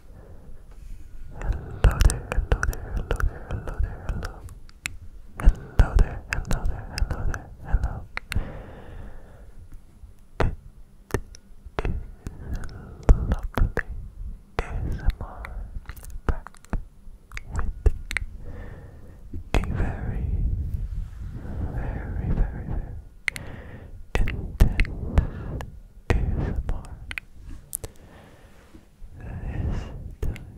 Hello there, hello there, hello there, hello hello. there, hello there, hello there, hello. It is lovely ASMR back with a very, very, very, very intended ASMR. This time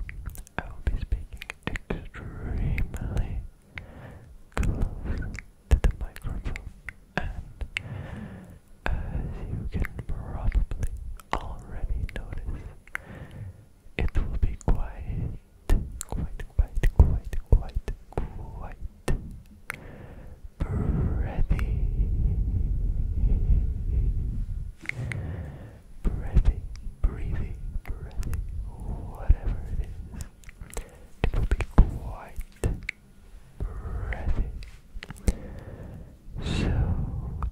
I will be speaking extremely close to the microphone, and as you can probably already notice, it will be quite, quite, quite, quite, quite, quite Breathing, breathy, breathy, breathy, whatever it is, it will be quite breathy. So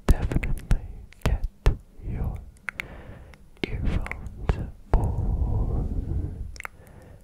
definitely get your earphones or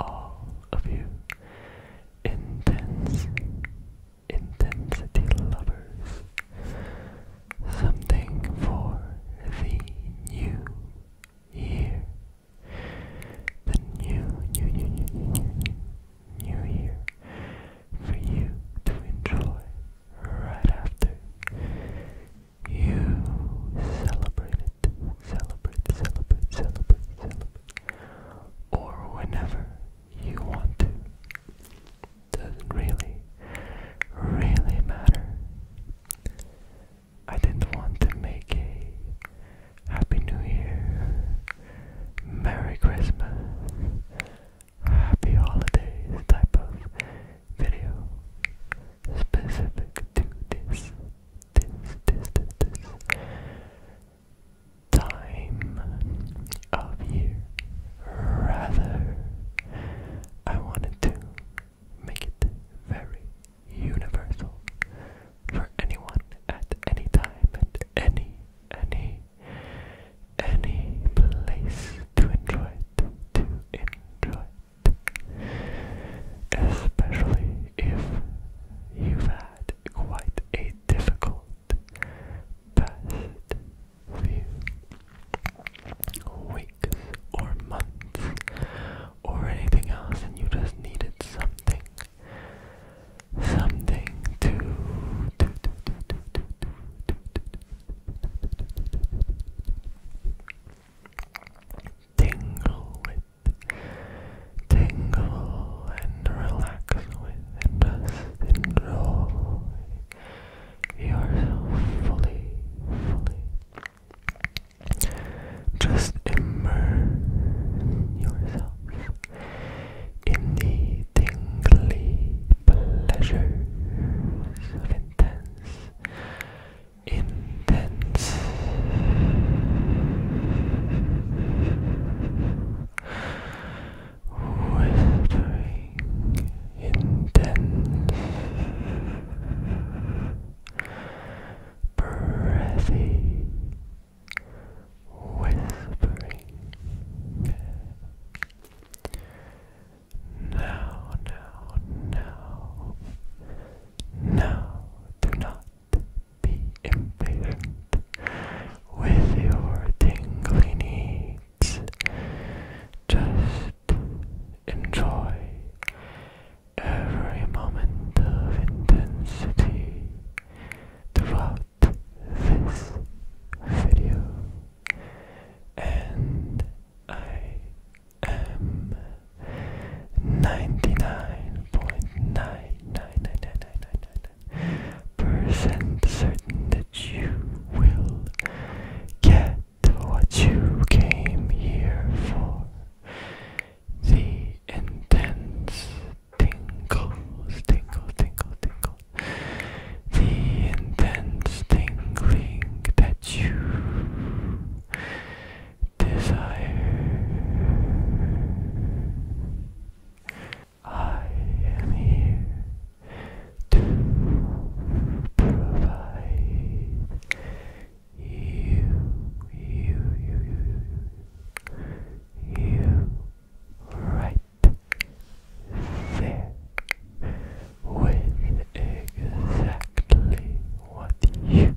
all of you intense intensity lovers. Something for the new year. The new, new, new, new, new, year for you to enjoy right after you celebrated celebrate, celebrate, celebrate, celebrate. Or whenever you want to. Doesn't really, really matter. I didn't want to make a Happy New Year, Merry Christmas, Happy Holidays type of video specific to this this, this, this, time of year. Rather, I wanted to make it very universal for anyone at any time, at any, any, any place to enjoy it, to enjoy it. Especially if you've had quite a difficult past few weeks or months or anything else, and you just needed something, something to tingle with, tingle and relax with, and just yourself fully, fully. Just immerse yourself in the tingly pleasures of intense intense whispering intense breathy whispering now, now, now, now, do not be impatient with your tingling needs. Just enjoy every moment of intensity throughout this video. And I FM 99.99999% certain that you will get what you came here for. The intense tingles, tingle, tingle, tingle. The intense tingling that you desire. I am here to provide you, you, you, you, you, you right there with exactly what you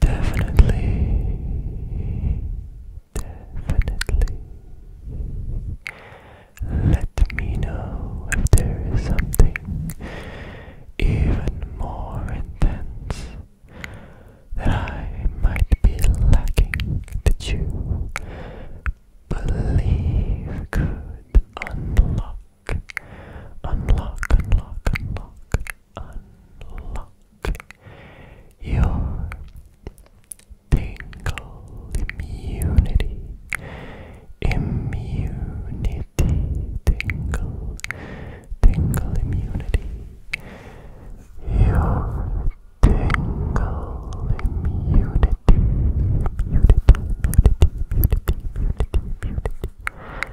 Definitely, definitely. Let me know if there is something even more intense that I might be lacking that you believe could unlock unlock, unlock, unlock, unlock your tingle immunity, immunity, tingle, tingle immunity, your tingle immunity, immunity, immunity, immunity, immunity, immunity.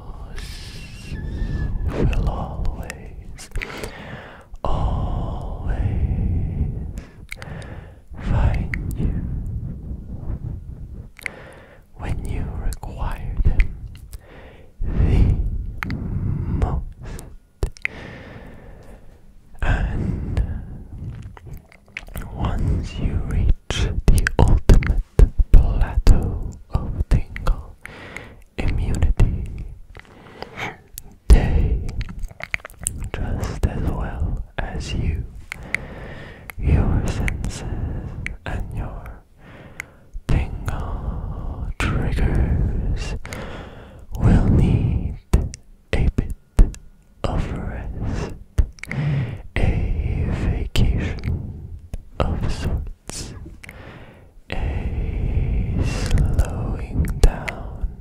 yours will always, always find you when you require them the most. And once you reach the ultimate plateau of tingle immunity. They, just as well as you, your senses and your tingle triggers will need a bit of rest, a vacation of sorts sense a slowing down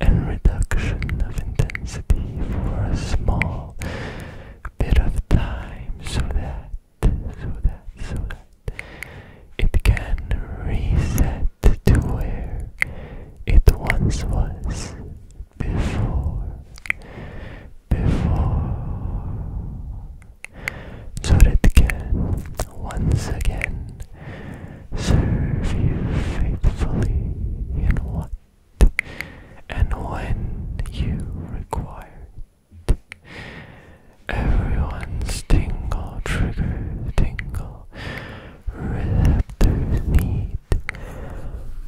and reduction of intensity for a small bit of time so that so that so that it can reset to where it once was before before. So it can once again serve you faithfully in what and when you require it. Everyone's tingle, trigger, tingle, receptors need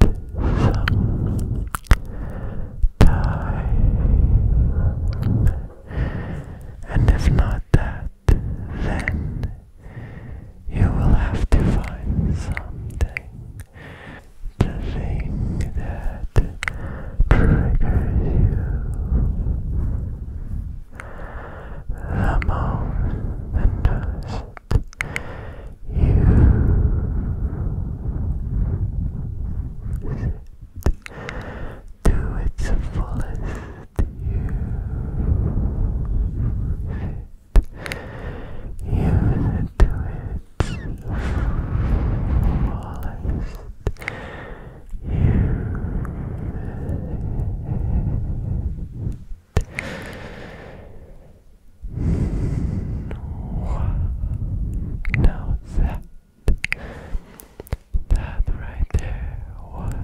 some time. And if not that, then you will have to find something. The thing that triggers you the most use it fullest. Use it, use it fullest. Use now that that right there was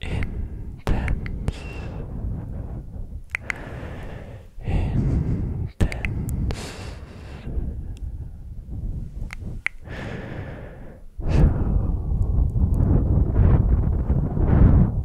intense intense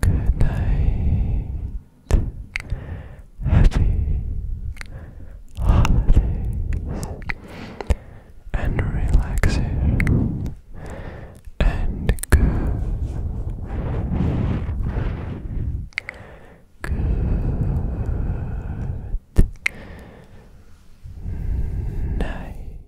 Good night. Happy holidays and relaxation and good. Good night.